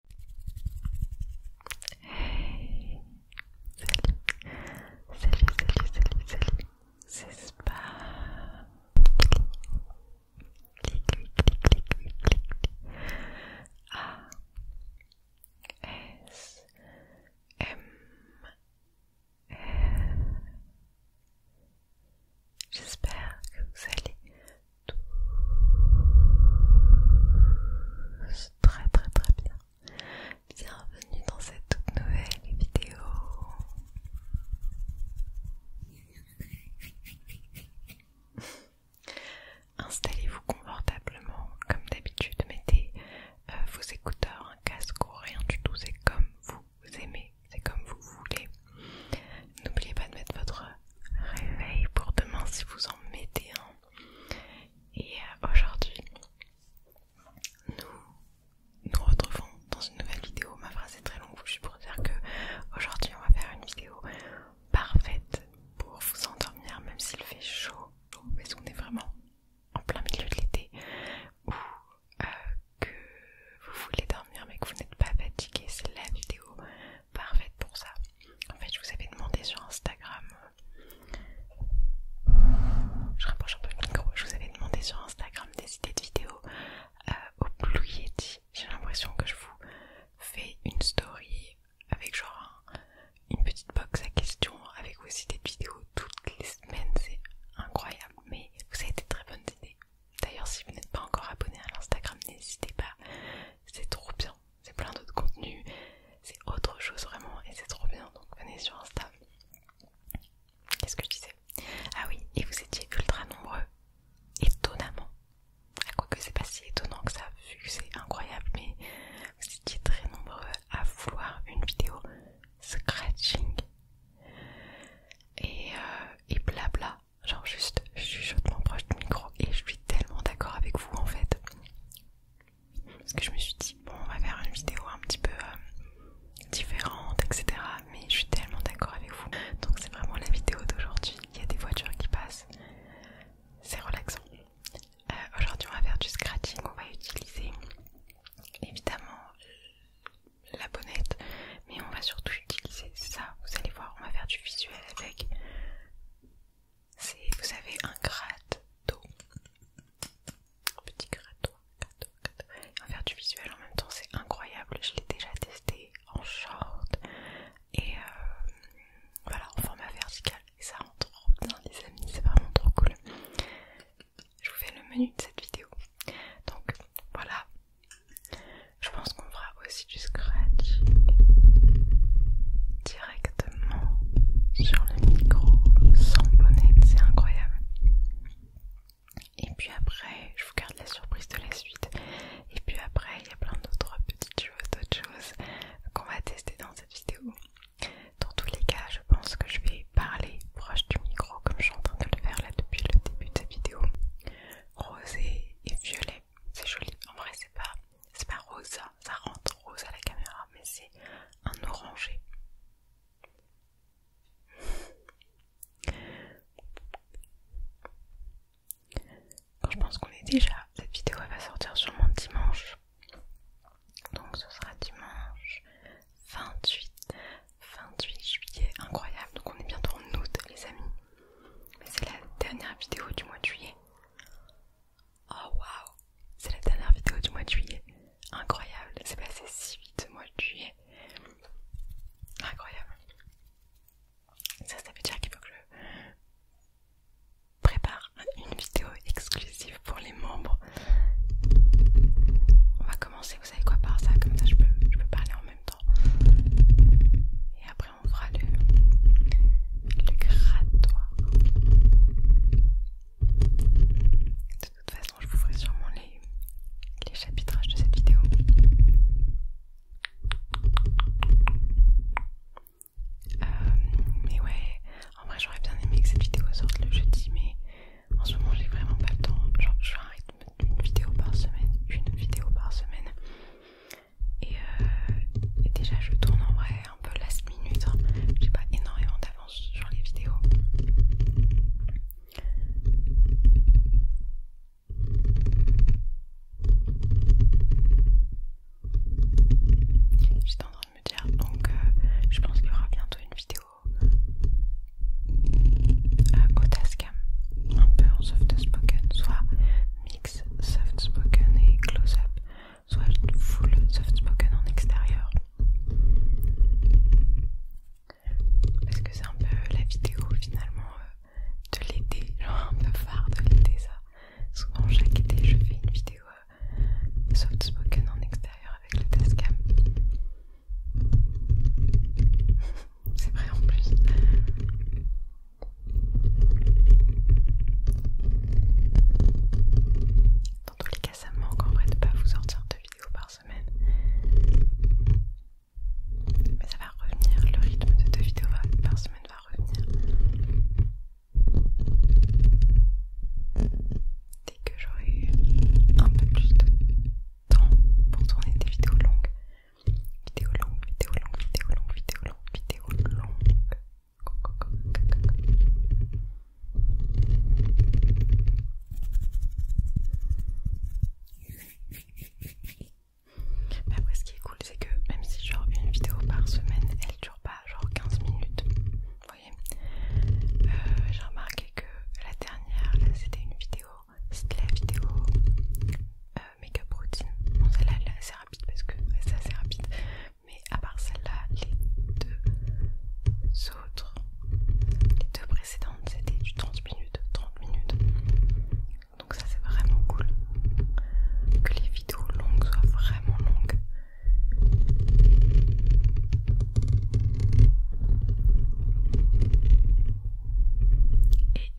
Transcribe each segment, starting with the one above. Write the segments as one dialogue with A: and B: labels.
A: Salut Salut, salut, salut, C'est pas J'espère que vous allez très très très bien. Bienvenue dans cette nouvelle vidéo. Installez-vous confortablement, comme d'habitude, mettez euh, vos écouteurs, un casque ou rien du tout, c'est comme vous aimez, c'est comme vous voulez. N'oubliez pas de mettre votre réveil pour demain si vous en mettez un. Et euh, aujourd'hui, nous nous retrouvons dans une nouvelle vidéo. Ma phrase est très longue, je suis pour dire que aujourd'hui on va faire une vidéo parfaite pour vous endormir même s'il fait chaud, parce qu'on est vraiment en plein milieu de l'été ou euh, que vous voulez dormir mais que vous n'êtes pas fatigué, c'est la vidéo parfaite pour ça. En fait, je vous avais demandé sur Instagram. Euh, je rapproche un peu le micro. Je vous avais demandé sur Instagram des idées de vidéos euh, au Blue Yeti. J'ai l'impression que je vous fais une story avec genre une petite box à questions avec vos idées de vidéos toutes les semaines. C'est incroyable. Mais vous avez des très bonnes idées. D'ailleurs, si vous n'êtes pas encore abonné à l'Instagram, n'hésitez pas. C'est trop bien c'est plein d'autres contenus, c'est autre chose vraiment et c'est trop bien donc venez sur Insta. Qu'est-ce que je disais Ah oui, et vous étiez ultra nombreux, étonnamment. À ah, quoi que c'est pas si étonnant que ça, vu que c'est incroyable, mais vous étiez très nombreux à vouloir une vidéo scratching et, euh, et blabla genre juste je suis hautement proche du micro et je suis tellement d'accord avec vous en fait parce que je me suis dit bon on va faire une vidéo un petit peu euh, différente etc mais je suis tellement d'accord avec vous donc c'est vraiment la vidéo d'aujourd'hui il y a des voitures qui passent c'est relaxant euh, aujourd'hui on va faire du scratching on va utiliser évidemment la bonnette mais on va surtout utiliser ça vous allez voir on va faire du visuel avec c'est vous avez un gratte d'eau petit grattoir en faire du visuel en même temps c'est incroyable je l'ai déjà testé en short et euh, voilà en format vertical et ça rentre trop bien les amis c'est vraiment trop cool je vous fais le menu de cette vidéo donc voilà je pense qu'on fera aussi du scratch directement sur le micro sans bonnet, c'est incroyable. Et puis après, je vous garde la surprise de la suite. Et puis après, il y a plein d'autres petites choses, d'autres choses qu'on va tester dans cette vidéo. Dans tous les cas, je pense que je vais parler proche du micro comme je suis en train de le faire là depuis le début de cette vidéo. Rosé et violet c'est joli. En vrai, c'est pas, pas rose. ça rentre rose à la caméra, mais c'est un orangé. je pense qu'on est déjà. Cette vidéo va sortir sûrement dimanche. Donc ce sera dimanche 28, 28 juillet. Incroyable. Donc on est bientôt en août les amis. Mais c'est la dernière vidéo du mois de juillet. Oh waouh, c'est la dernière vidéo du mois de juillet. Incroyable, c'est passé si vite mois de juillet. Incroyable. Ça, ça veut dire qu'il faut que je prépare une vidéo exclusive pour les membres. On va commencer, vous savez quoi, par ça, comme ça je peux, je peux parler en même temps. Et après on fera le, grattoir. De toute façon, je vous ferai sûrement les, chapitrages de cette vidéo. Euh, mais ouais, en vrai, j'aurais bien aimé que cette vidéo sorte le jeudi, mais en ce moment, j'ai vraiment pas le temps. Genre, je fais une vidéo par semaine, une vidéo par semaine. Euh, et, déjà je tourne en vrai un peu la minute, hein. j'ai pas énormément d'avance sur les vidéos. J'étais en train de me dire, donc euh, je pense qu'il y aura bientôt une vidéo au Tascam, un peu en soft spoken, soit soft spoken et close up, soit full soft spoken en extérieur. Parce que c'est un peu la vidéo finalement euh, de l'été, genre un peu phare de l'été ça. Souvent chaque été je fais une vidéo euh, soft spoken en extérieur avec le test cam, c'est vrai en plus. Dans tous les cas, ça me manque en vrai de pas vous sortir deux vidéos par semaine. Mais ça va revenir, le rythme de deux vidéos par semaine va revenir. Dès que j'aurai un peu plus de temps pour tourner des vidéos longues, Vidéo longue, vidéo longue, vidéo longue, vidéo longue, vidéo longue. après, ce qui est cool, c'est que même si genre une vidéo par semaine, elle dure pas genre 15 minutes. Vous voyez euh, J'ai remarqué que la dernière, là, c'était une vidéo, c'était la vidéo euh, make routine. Bon, celle-là elle est assez rapide parce que c'est assez rapide. Mais à part celle-là, les deux autres, les deux précédentes, c'était du 30 minutes, 30 minutes. Donc ça c'est vraiment cool. Que les vidéos longues soient vraiment longues.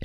A: Et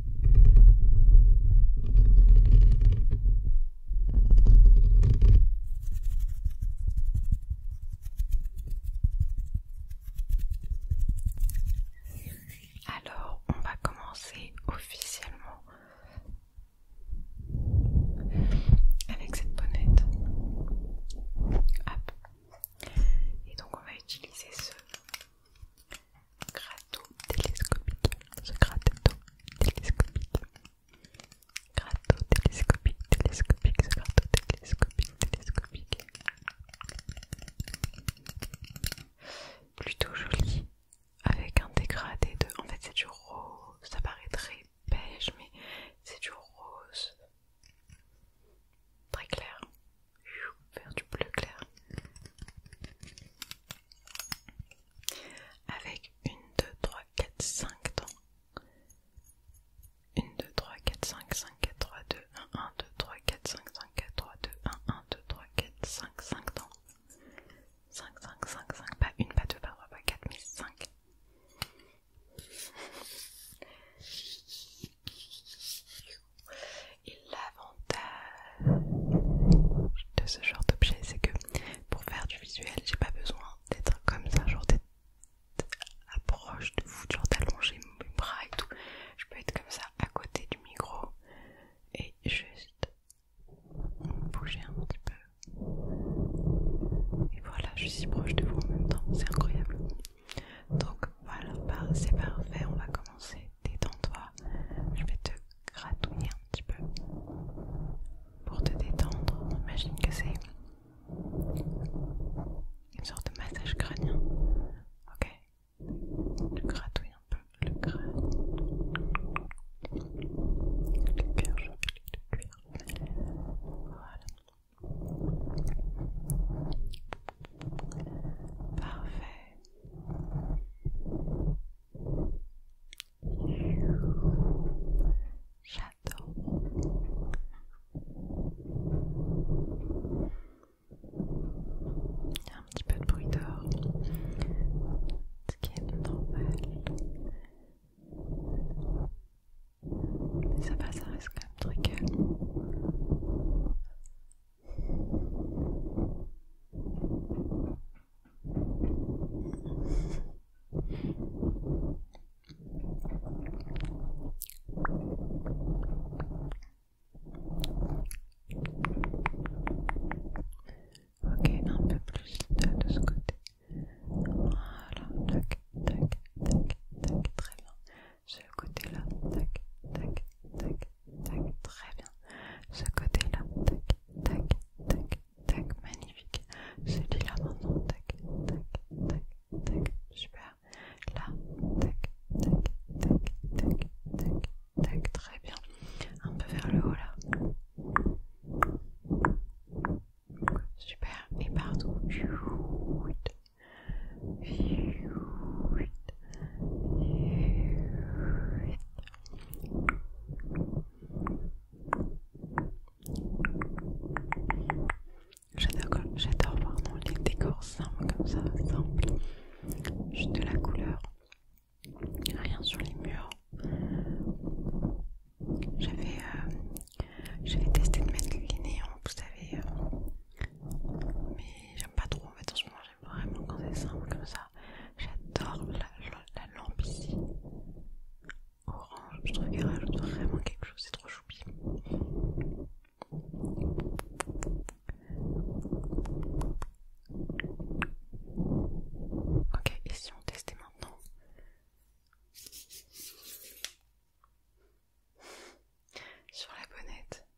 A: Alors, on va commencer officiellement avec cette bonnette. Et donc, on va utiliser ce Gratteau télescopique. Ce gratteau télescopique. gratteau télescopique, télescopique, ce télescopique, télescopique. Plutôt joli, avec un dégradé de. En fait, c'est du rose. Ça paraît très beige, mais c'est du rose. Très clair. Vers du bleu clair avec une, deux trois quatre cinq dents. Une deux trois quatre cinq cinq quatre trois deux un 1, 2, 3, cinq cinq 5, 4, deux 1, 1, 2, dents. Cinq cinq cinq cinq pas une pas deux pas pas quatre mais et l'avantage de ce genre d'objet, c'est que pour faire du visuel, j'ai pas besoin d'être comme ça, genre d'être à proche de vous, genre d'allonger mes bras et tout. Je peux être comme ça à côté du micro et juste bouger un petit peu. Et voilà, je suis proche de vous en même temps, c'est incroyable. Donc voilà, bah, c'est parfait, on va commencer. Détends-toi, je vais te gratouiller un petit peu pour te détendre. Imagine que c'est une sorte de massage crânien. Ok Tu gratouilles un peu le crâne, le je le Voilà. Parfait. J'adore. Il y a un petit peu de bruit dehors, ce qui est normal. Mais ça va, ça reste quand même très Ok, un peu plus de, ce côté. Voilà, tac, tac, tac, tac, très bien. ce côté là, tac, tac, tac, tac, très bien. Ce côté-là, tac, tac, tac, tac, magnifique. Celui-là maintenant, tac, tac, tac, tac, super. Là, tac, tac, tac, tac, tac, tac, très bien. Un peu vers le haut là. Super, et partout. J'adore vraiment les décors simples comme ça, simples, juste de la couleur, rien sur les murs. J'avais euh, testé de mettre les néons, hein, vous savez, euh. mais j'aime pas trop en fait en ce moment j'aime vraiment quand c'est simple comme ça. J'adore la, lampe ici, orange, je trouve qu'elle rajoute vraiment quelque chose, c'est trop choupi. Ok, et si on testait maintenant sur la bonnette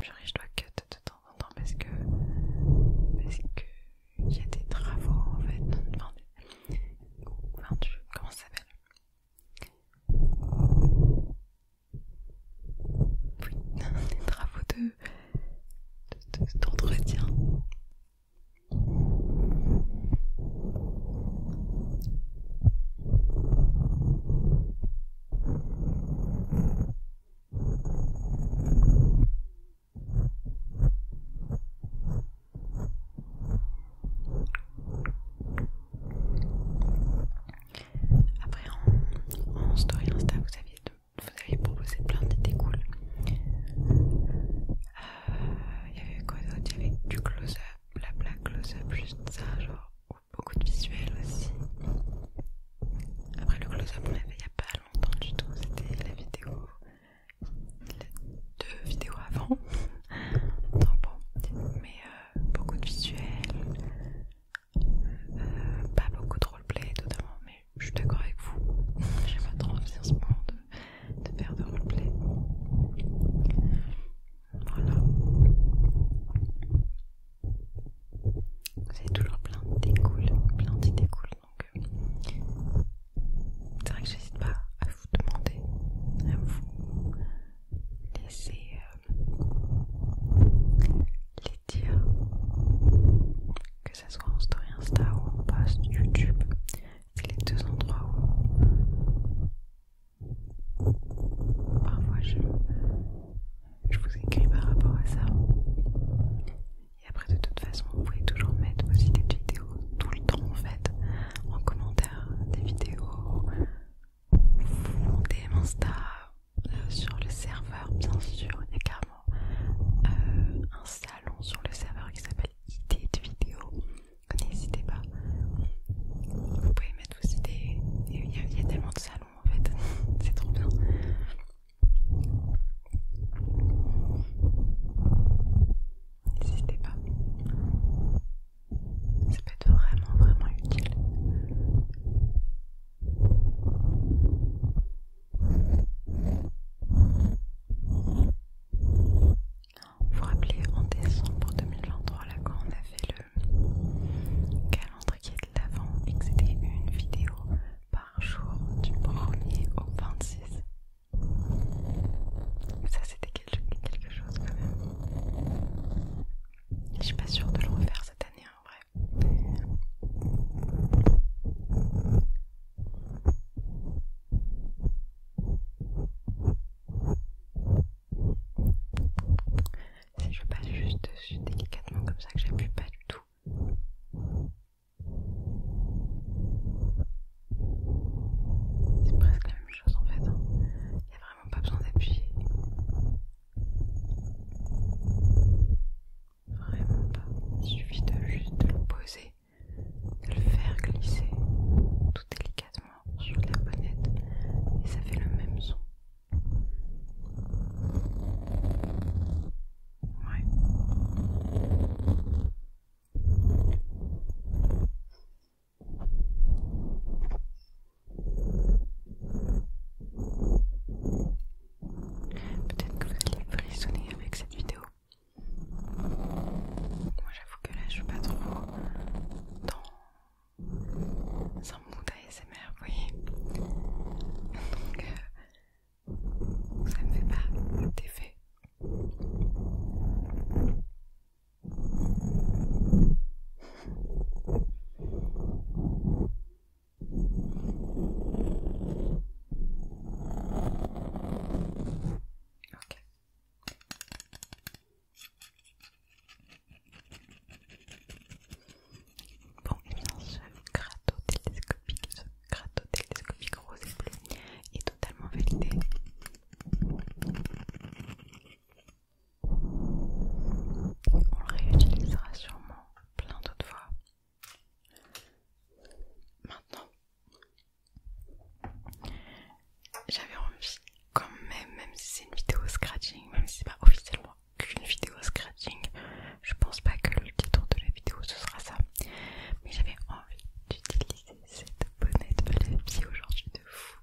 A: Purée, je dois que de temps en temps parce que. Parce que. Il y a des travaux en fait. Enfin, Comment ça s'appelle Oui, des travaux de. d'entretien. Après en, story Insta vous aviez, proposé plein d'idées cool. Euh, il y avait quoi d'autre Il y avait du close-up, la close-up, juste ça, genre beaucoup de visuels aussi. Après le close-up, on l'avait il n'y a pas longtemps du tout, c'était la vidéo, les deux vidéos avant. Donc bon, mais euh, beaucoup de visuels, euh, pas beaucoup de roleplay totalement, mais je suis d'accord avec vous. J'ai pas trop envie en ce moment de, de faire de roleplay. Voilà. C'est toujours plein d'idées cool, plein d'idées cool, donc euh, c'est vrai que j'hésite pas à vous demander, à vous laisser euh, les dire, que ce soit en story Insta ou en post YouTube, c'est les deux endroits où Parfois je, je vous écris par rapport à ça. Et après de toute façon vous pouvez toujours mettre vos idées de vidéos tout le temps en fait en commentaire des vidéos ou des Insta euh, sur le serveur bien sûr il y a carrément euh, un salon sur le serveur qui s'appelle idées de vidéos n'hésitez pas vous pouvez mettre vos idées il y a tellement de salons en fait, c'est trop bien. N'hésitez pas, ça peut être vraiment, vraiment utile. Vous vous rappelez en décembre 2023, là, quand on avait le calendrier de l'avant et que c'était une vidéo par jour du 1er au 26. Ça c'était quelque chose quand même. Je suis pas sûre de le refaire cette année en vrai si je passe juste dessus délicatement comme ça que j'appuie pas du tout c'est presque la même chose en fait il hein. n'y a vraiment pas besoin d'appuyer vraiment pas il suffit de juste de le poser de le faire glisser tout délicatement sur la bonnette et ça fait le même son Peut-être que vous allez frissonner avec cette vidéo. Moi j'avoue que là je veux pas trop dans sans un mood ASMR, vous voyez. Donc, euh, ça ne fait pas d'effet. Bon, et lance ce ce gratotélescopique rose et bleu est totalement validé. On le réutilisera sûrement plein d'autres fois. Maintenant, j'avais envie quand même, même si c'est une vidéo scratching, même si c'est pas officiellement qu'une vidéo scratching, je pense pas que le titre de la vidéo ce sera ça. Mais j'avais envie d'utiliser cette bonnette de la aujourd'hui de fou.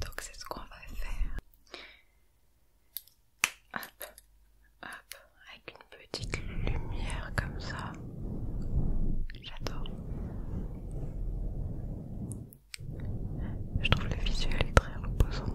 A: Donc c'est ce qu'on va faire. avec une petite lumière comme ça. J'adore. Je trouve le visuel très reposant.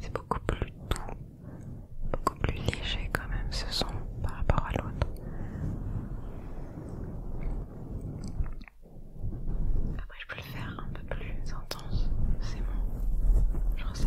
A: C'est beaucoup plus doux, beaucoup plus léger quand même ce son par rapport à l'autre. Après je peux le faire un peu plus intense, c'est bon, genre ça.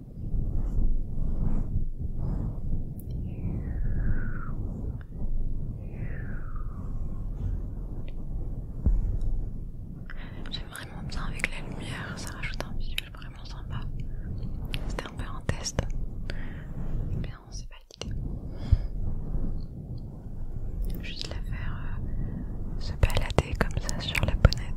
A: J'aime vraiment bien avec la lumière, ça rajoute un visuel vraiment sympa. C'était un peu un test. bien, on s'est pas Juste la faire euh, se balader comme ça sur la bonnette.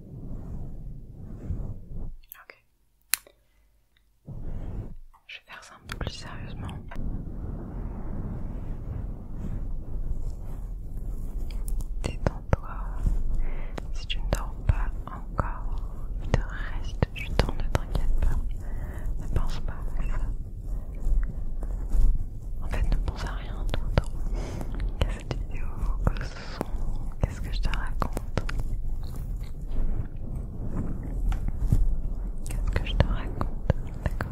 A: Ok. Je vais faire ça un peu plus sérieusement. Détends-toi. Si tu ne dors pas encore, il te reste du temps, ne t'inquiète pas. Ne pense pas à En fait, ne pense à rien tout le temps. cette vidéo, Qu'est-ce que je te raconte Qu'est-ce que je te raconte D'accord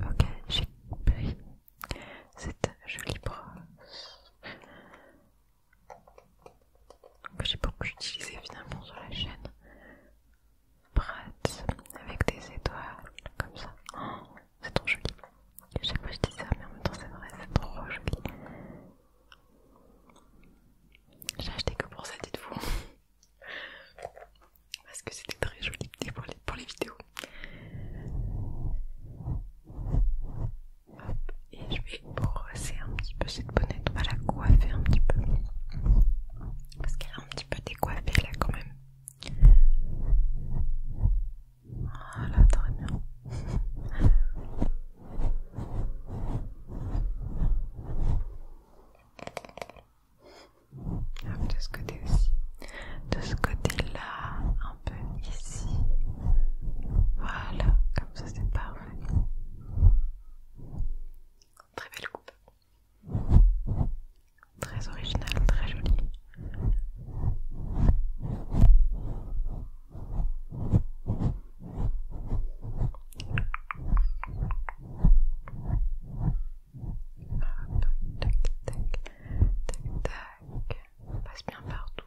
A: Ok, j'ai pris cette jolie brosse que j'ai beaucoup utilisé finalement sur la chaîne. Pratt avec des étoiles comme ça. Oh, c'est trop joli. chaque fois je dis ça, mais en même temps c'est vrai, c'est trop joli. J'ai acheté que pour ça, dites-vous. Parce que c'était très joli pour les vidéos et je vais brosser un petit peu cette bonnette, on va la coiffer un petit peu. Parce qu'elle est un petit peu décoiffée là quand même. Voilà, ah, très bien. de ce côté aussi. De ce côté-là, un peu ici. Voilà, comme ça c'est pas. Très belle coupe. Très originale, très jolie. tac, tac, tac, tac. passe bien partout.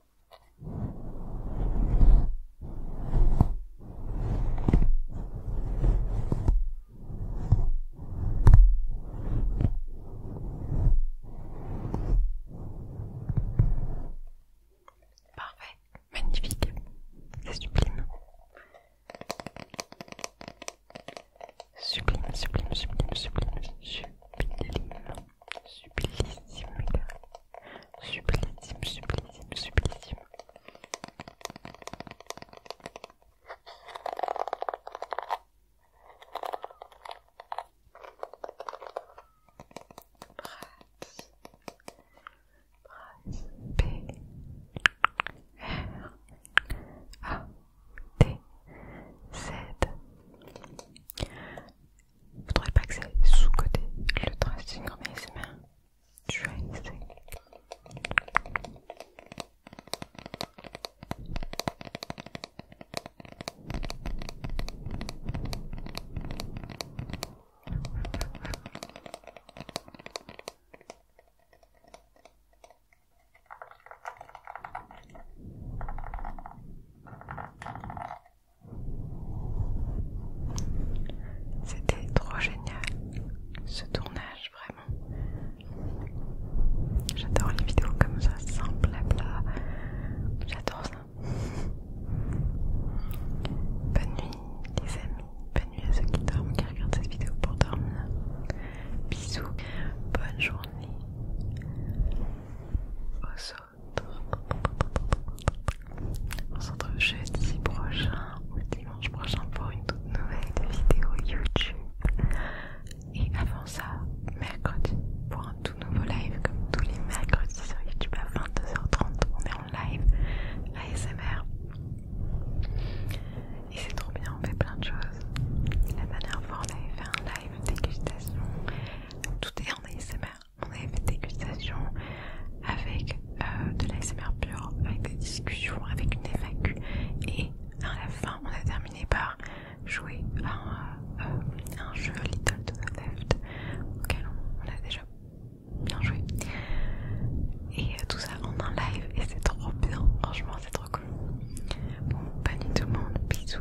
A: Parfait, magnifique, c'est sublime. Sublime, sublime, sublime, sublime, sublime, sublime, sublime, Sublissime, sublissime, sublissime. Brass, brass, B, R, A, T Z. Vous trouvez pas que c'est sous-côté le tracing en ASMR Je vais essayer. Voilà. C'était trop génial ce tournage, vraiment. J'adore les vidéos comme ça, sans à J'adore ça. Bonne nuit, les amis. Bonne nuit à ceux qui dorment, qui regardent cette vidéo pour dormir. Bisous. Bonne journée. Au on se retrouve jeudi prochain ou dimanche prochain pour une toute nouvelle vidéo YouTube. Et avant ça, mercredi pour un tout nouveau live comme tous les mercredis sur YouTube à 22h30. On est en live ASMR. Et c'est trop bien, on fait plein de choses. La dernière fois, on avait fait un live dégustation. Tout est en ASMR on avait fait des dégustations avec euh, de l'ASMR pur, avec des discussions, avec une FAQ et à la fin on a terminé par jouer euh, un, jeu Little to the Left auquel on, a déjà bien joué et euh, tout ça en un live et c'est trop bien, franchement c'est trop cool. Bon, bonne nuit tout le monde, bisous.